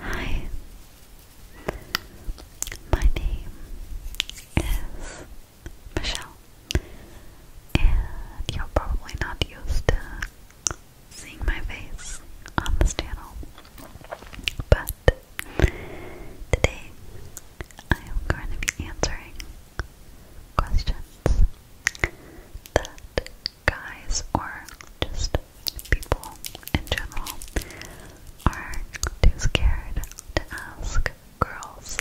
Hi, my name is Michelle, and you're probably not used to seeing my face on this channel, but today I am going to be answering questions guys or just people in general are too scared to ask girls,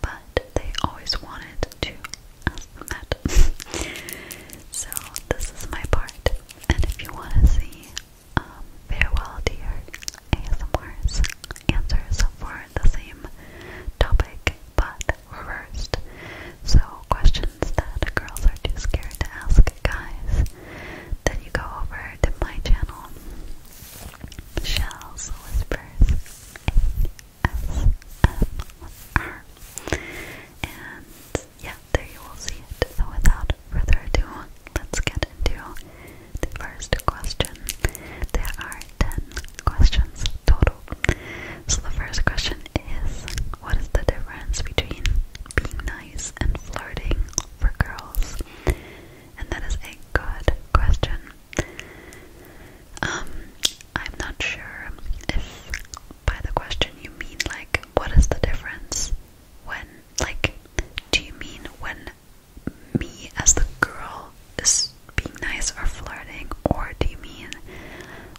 but they always wanted to ask them that. so this is my part, and if you want to see um, farewell dear ASMRs answers for the same topic, but reversed. So, questions that girls are too scared to ask guys, then you go over to my channel, Shells Whispers ASMR. And yeah, there you will see it. So, without further ado, let's get into the first question. There are ten questions total. So the first question is what is the difference between being nice and flirting for girls? And that is a good question. Um I'm not sure if by the question you mean like what is the difference when like do you mean when me as the girl is being nice or flirting, or do you mean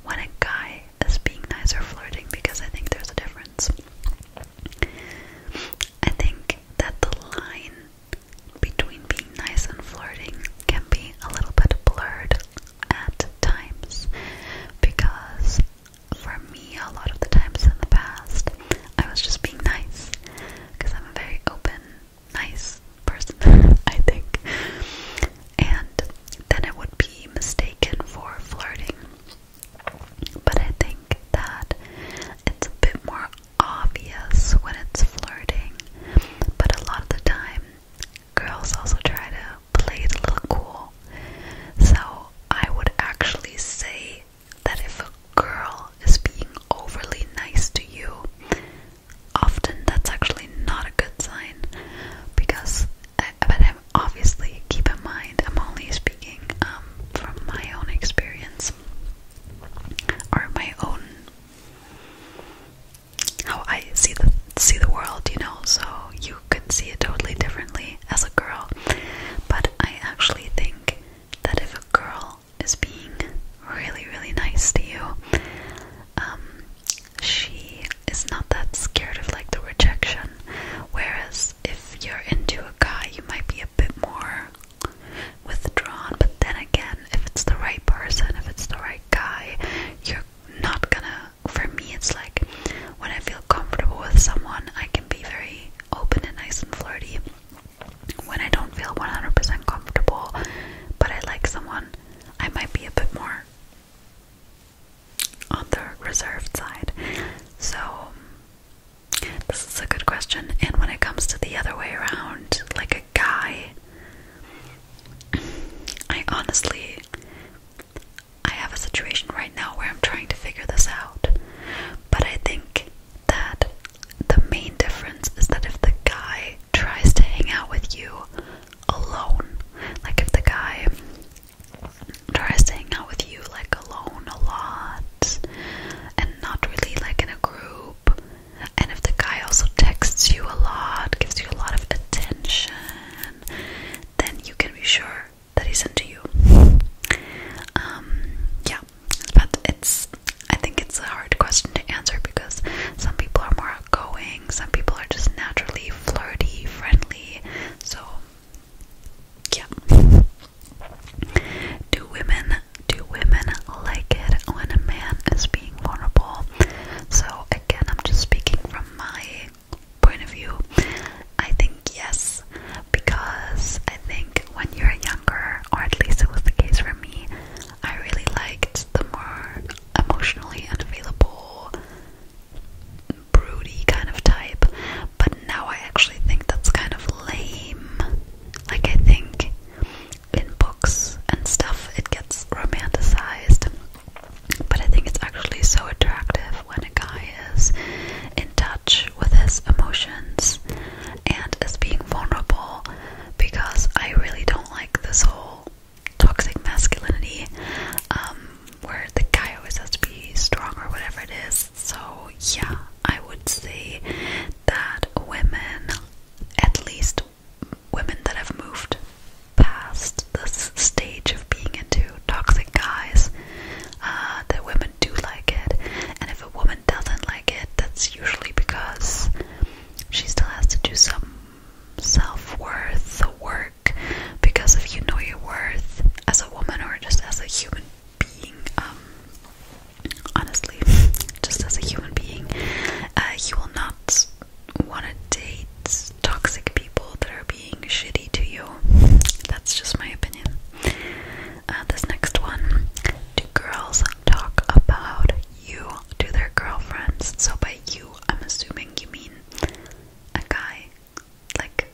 when a guy is being nice or flirting? Because I think there's a difference. I think that the line between being nice and flirting can be a little bit blurred at times because for me, a lot of the times in the past, I was just being nice because I'm very open nice person, I think. And then it would be mistaken for flirting. But I think that it's a bit more obvious when it's flirting. But a lot of the time, girls also try to play it a little cool. So I would actually say that if a girl is being overly nice to you, often that's actually not a good sign because uh, but I'm obviously keep in mind I'm only speaking um, from my own experience or my own how I see the see the world, you know, so you could see it totally differently as a girl. But I actually think that if a girl is being really, really nice to you. Um, she is not that scared of like the rejection. Whereas if you're into a guy, you might be a bit more withdrawn. But then again, if it's the right person, if it's the right guy, you're not gonna. For me, it's like when I feel comfortable with someone, I can be very open and nice and flirty when I don't feel 100% comfortable, but I like someone, I might be a bit more on the reserved side. So, this is a good question. And when it comes to the other way around, like a guy, I honestly, I have a situation right now where I'm trying to figure this out. But I think that the main difference is that if the guy tries to hang out with you alone, like if the guy tries to hang out with you like alone a lot and not really like in a group, and if the guy also texts you a lot, gives you a lot of attention, then you can be sure that he's into you. Um, yeah, yeah, but it's I think it's a hard question to answer because some people are more outgoing, some people are just naturally flirty, friendly. So yeah. Do women do women like it when a man is being vulnerable? So again, I'm just speaking from my point of view. I think yes because I think think when you're younger, or at least it was the case for me, I really liked the more emotionally unavailable, broody kind of type. But now I actually think that's kind of lame. Like, I think in books and stuff it gets romanticized. But I think it's actually so attractive when a guy is in touch with his emotions and is being vulnerable because I really don't like this whole toxic masculinity um, where the guy always has to be strong or whatever it is. So, yeah, I would say that women, at least women that have moved past this stage of being into toxic guys, uh, that women women do like it, and if a woman doesn't like it, that's usually because she still has to do some self-worth work because if you know your worth as a woman or just as a human being, um, honestly, just as a human being, uh, you will not want to date toxic people that are being shitty to you. That's just my opinion. Uh, this next one. Do girls talk about you to their girlfriends? So by you, I'm assuming you mean a guy. Like,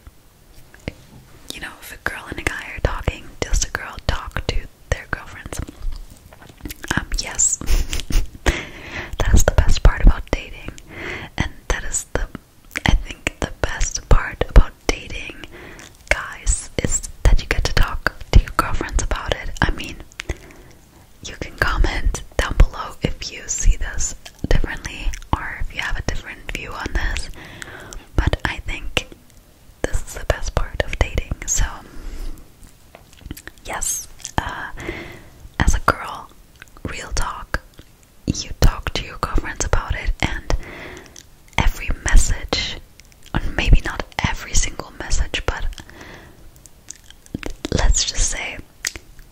you know, if a girl and a guy are talking, does a girl talk to their girlfriends? Um, yes. that is the best part about dating. And that is the, I think, the best part about dating guys is that you get to talk to your girlfriends about it. I mean, you can comment down below if you see this differently or if you have a different view on this. But I think this is the best part of dating. So, yes, uh, as a girl, real talk. You talk to your girlfriends about it, and every message maybe not every single message, but let's just say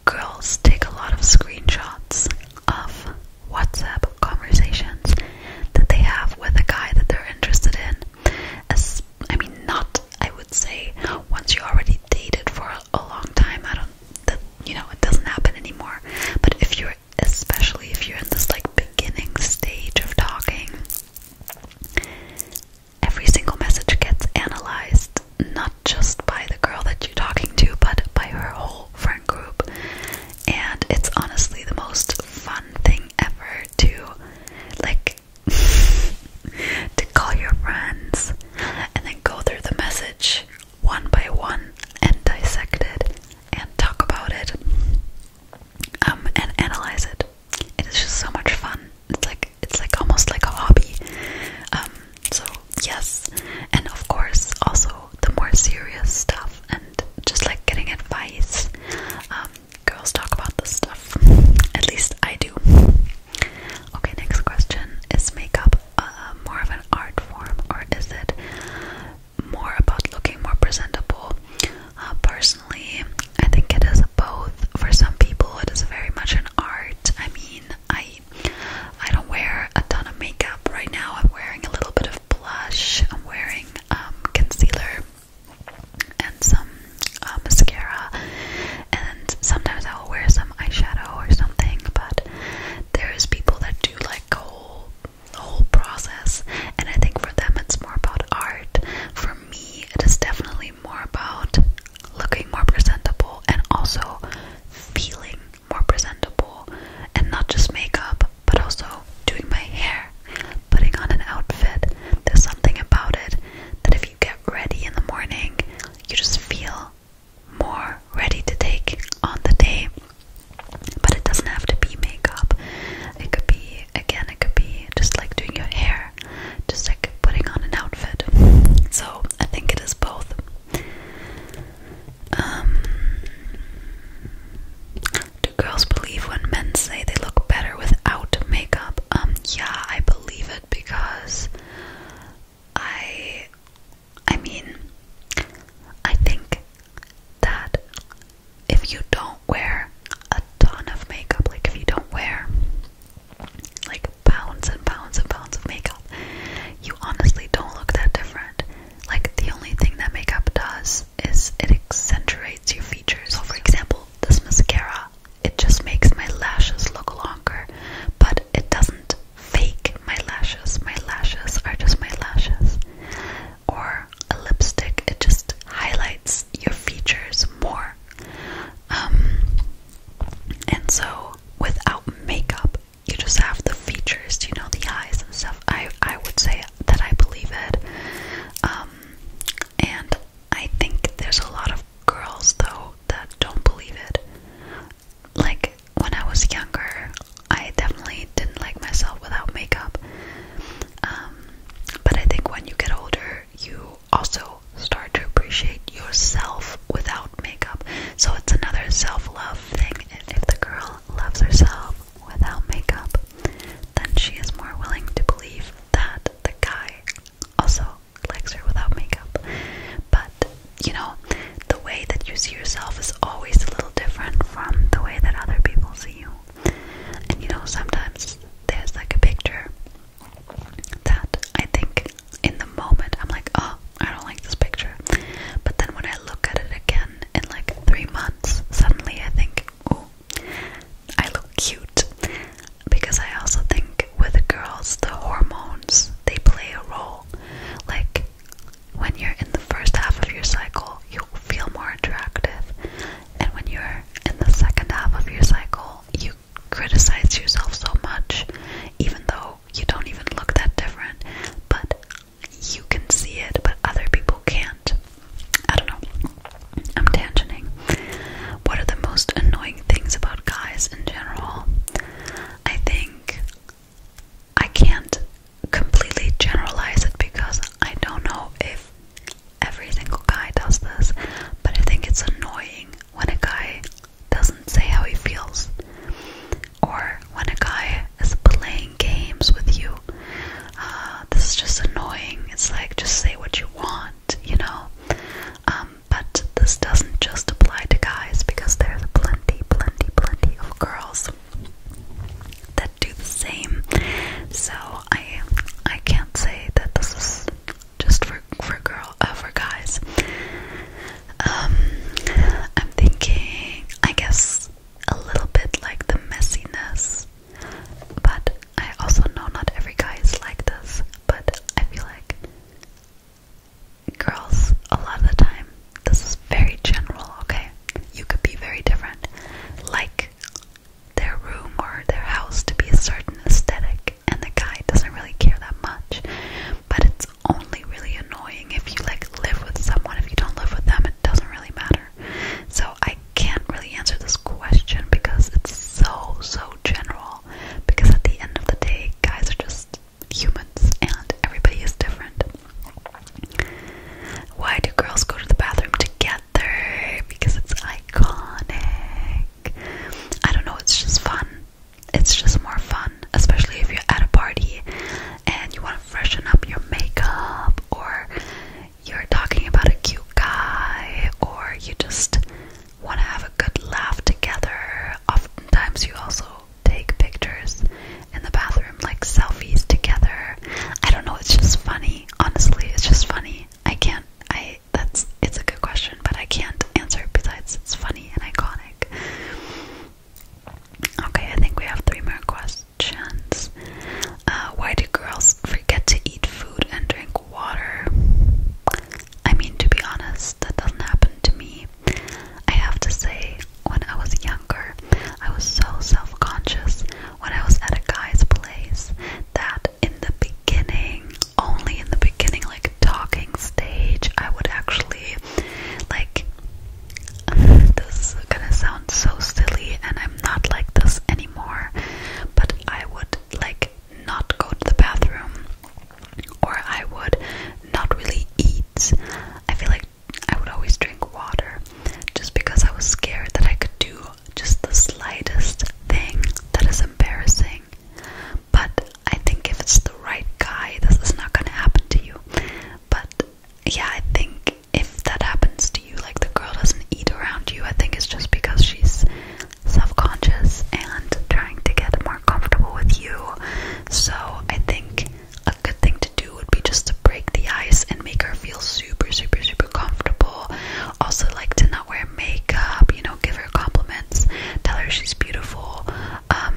girls take a lot of screenshots of WhatsApp conversations that they have with a guy that they're interested in. As I mean, not I would say once you already dated for a long time. I don't that you know it doesn't happen anymore. But if you're especially if you're in this like beginning stage of talking, every single message gets analyzed not just by the girl that you're talking to, but by her whole friend group. And it's honestly the most fun thing ever to like to call your friends and then go through the message one by one and dissect it and talk about it um, and analyze it. It is just so much fun. It's like it's like almost like a hobby. Um, so yes, and of course also the more serious stuff and just like getting advice. Um, girls talk about this stuff. At least I do. Okay, next question: Is makeup uh, more of an art form, or is it more about looking more presentable. Uh, personally, I think it is both. For some people, it is very much an art. I mean, I I don't wear a ton of makeup right now. I'm wearing a little bit of blush. I'm wearing um, concealer and some uh, mascara, and sometimes I will wear some eyeshadow or something. But there is people that do like whole the whole process. And I think for them it's more about art. For me, it is definitely more about looking more presentable and also feeling more presentable. And not just makeup, but also doing my hair, putting on an outfit. There's something about it that if you get ready in the morning, you just feel more ready to take on the day. But it doesn't have to be makeup. It could be, again, it could be just like doing your hair, just like putting on an outfit. So I think it is both. Um, do girls believe when men say they look better without makeup? Um, yeah, I believe it because I I mean, I think that if you don't wear a ton of makeup, like if you don't wear like pounds and pounds and pounds of makeup, you honestly don't look that different. Like the only thing that makeup does is it accentuates your features. So for example, this mascara, it just makes my lashes look longer, but it doesn't fake my lashes. My lashes are just my lashes. Or a lipstick, it just highlights your features more. Um, and so without makeup, you just have the features, you know, the eyes and stuff. I I would say that I believe it. Um, and I think there's a lot of girls though that don't believe it like when I was younger, I definitely didn't like myself without makeup. Um, but I think when you get older, you also start to appreciate yourself without makeup. So it's another self love thing. If the girl loves herself without makeup, then she is more willing to believe that the guy also likes her without makeup. But you know, the way that you see yourself is always a little different from the way that other people see you. And you know, sometimes there's like a picture that I think in the moment I'm like, oh, I don't like this picture. But then when I look at it again in like three months, suddenly I think, oh, I look cute. Because I also think with girls, the hormones they play a role. Like, when you're in the first half of your cycle, you feel more attractive, and when you're in the second half of your cycle, you criticize yourself so much, even though you don't even look that different, but you can see it, but other people can't. I don't know. I'm tangenting. What are the most annoying things about guys in general? I think I can't completely generalize it because I don't know if every single guy does this, but I think it's annoying when a guy doesn't say how he feels, or when a guy is playing games with you. Uh, this is just annoying. It's like just say what you want, you know. Um, but this doesn't just apply to guys because there's plenty, plenty, plenty of girls that do the same. So I I can't say that this is just for for girl uh, for guys. Um, I'm thinking I guess a little bit like the messiness, but I also know not every guy is like this. But I feel like girls, a lot of the time, this is very general, okay? You could be very different. Like their room or their house to be a certain aesthetic, and the guy doesn't really care that much. But it's only really annoying if you like live with someone. If you don't live with them, it doesn't really matter. So I can't really answer this question because it's so so general. Because at the end of the day, guys are just humans and everybody is different. Why do girls go to the bathroom together? Because it's iconic. I don't know, it's just fun. It's just more fun, especially if you're at a party and you want to freshen up your makeup or you're talking about a cute guy or you just want to have a good laugh together. Oftentimes, you also take pictures in the bathroom, like selfies together. I don't know, it's just funny. Honestly, it's just funny. I can't, I, that's, it's a good question, but I can't answer besides it's funny and iconic. Okay, I think we have three more questions. Uh, why do girls forget to eat food and drink water? I mean, to be honest, that doesn't happen to me. I have to say, when I was younger, I was so self conscious when I was at a guy's place that in the beginning, only in the beginning, like talking stage, I would actually like. This is gonna sound so silly, and I'm not like this anymore, but I would like not go to the bathroom or I would not really eat. I feel like I would always drink water just because I was scared that I could do just the slightest thing that is embarrassing. But I think if it's the right guy, this is not going to happen to you. But yeah, I think if that happens to you, like the girl doesn't eat around you, I think it's just because she's self-conscious and trying to get more comfortable with you. So I think a good thing to do would be just to break the ice and make her feel super, super, super comfortable. Also, like to not wear makeup, you know, give her compliments, tell her she's beautiful. Um,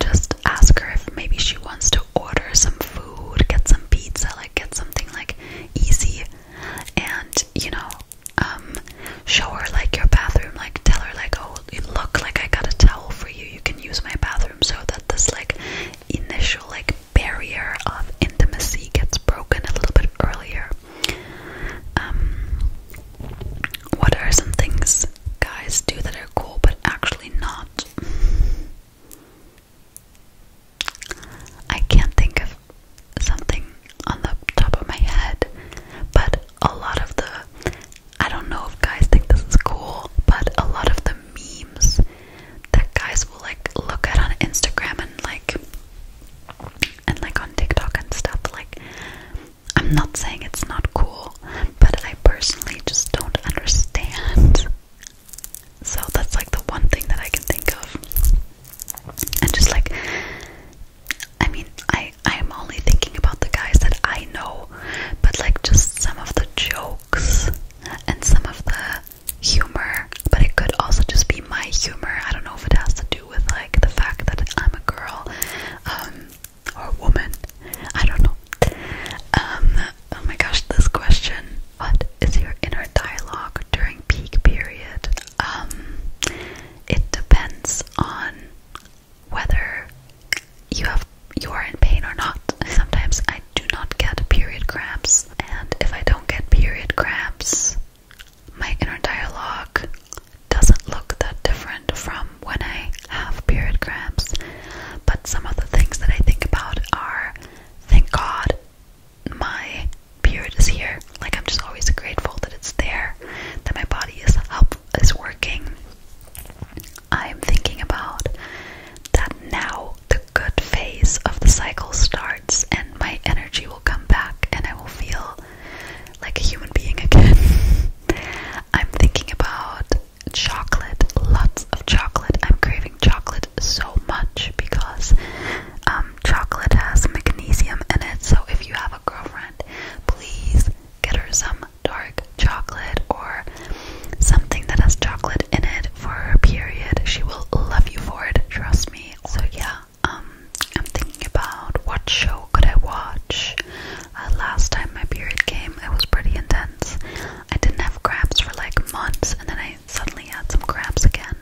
just ask her if maybe she wants to order some food, get some pizza, like get something like easy and you know um, show her like your bathroom like tell her like oh look like I got a towel for you you can use my bathroom so that this like initial like barrier of intimacy gets broken a little bit earlier um, what are some things guys do that are cool but actually not I can't think of something on the top of my head, but a lot of the I don't know if guys think this is cool, but a lot of the memes that guys will like look at on Instagram and like and like on TikTok and stuff like I'm not saying it's not cool, but I personally just don't understand. So that's like the one thing that I can think of and just like I mean I I'm only thinking about the guys that I know but like just some of the jokes and some of the humor but it could also just be my humor I don't know if it has to do with like the fact that I'm a girl um or a woman I don't know um oh my gosh this question what is your inner dialogue during peak period. Um, it depends on whether you have you are in pain or not. Sometimes I do not get period cramps, and if I don't get period cramps, my inner dialogue doesn't look that different from when I have period cramps. But some of the things that I think about are thank God my period is here. Like I'm just always grateful that it's there, that my body is up is working. I'm thinking about that now the good phase of the cycle starts and my energy will come back and I will feel like a human being again. I'm thinking about chocolate, lots of chocolate. I'm craving chocolate so much because um, chocolate has magnesium in it, so if you have a girlfriend, please get her some dark chocolate or something that has chocolate in it for her period. She will love you for it, trust me. So yeah, um, I'm thinking about what show could I watch. Uh, last time my period came, it was pretty intense. I didn't have cramps for like months, and then I I suddenly had some cramps again.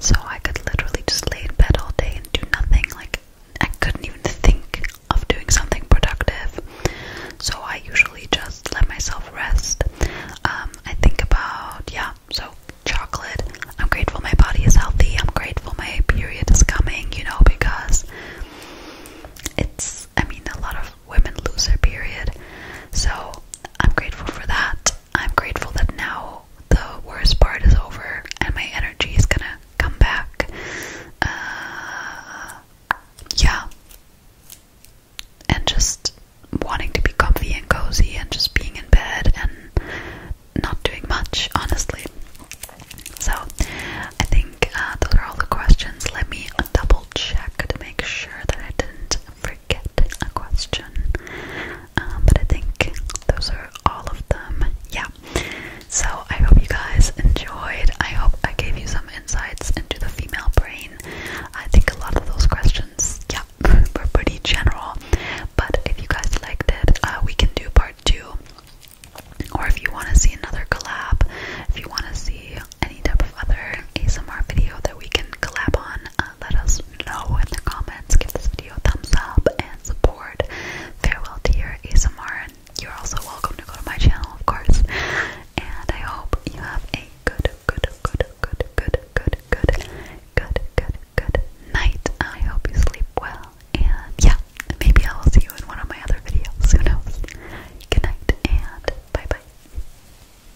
So I could literally just lay in bed all day and do nothing. Like, I couldn't even think of doing something productive. So I usually just let myself rest. Um, I think about, yeah, so chocolate. I'm grateful my body is healthy. I'm grateful my period is coming, you know, because it's, I mean, a lot of women lose their period. So I'm grateful for that. I'm grateful that now the worst part is over and my energy is gonna come back. Uh, yeah. And just wanting to be comfy and cozy and just being in bed and not doing much, honestly. So, I think uh, those are all the questions. Let me double check to make sure that I didn't. Forget forget a question. Um, but I think those are all of them. Yeah. So I hope you guys enjoyed. I hope I gave you some insights into the female brain. I think a lot of those questions, yeah, were pretty general. But if you guys liked it, uh, we can do part two. Or if you want to see another collab, if you want to see any type of other ASMR video that we can collab on, uh, let us know in the comments. Give this video a thumbs up and support Farewell Dear ASMR. And you're also welcome to go to my channel, of course. And I hope you have a good, good, good, good, good, good, good, good, good, good night. I hope you sleep well. And yeah, maybe I will see you in one of my other videos. Who knows? Good night and bye bye.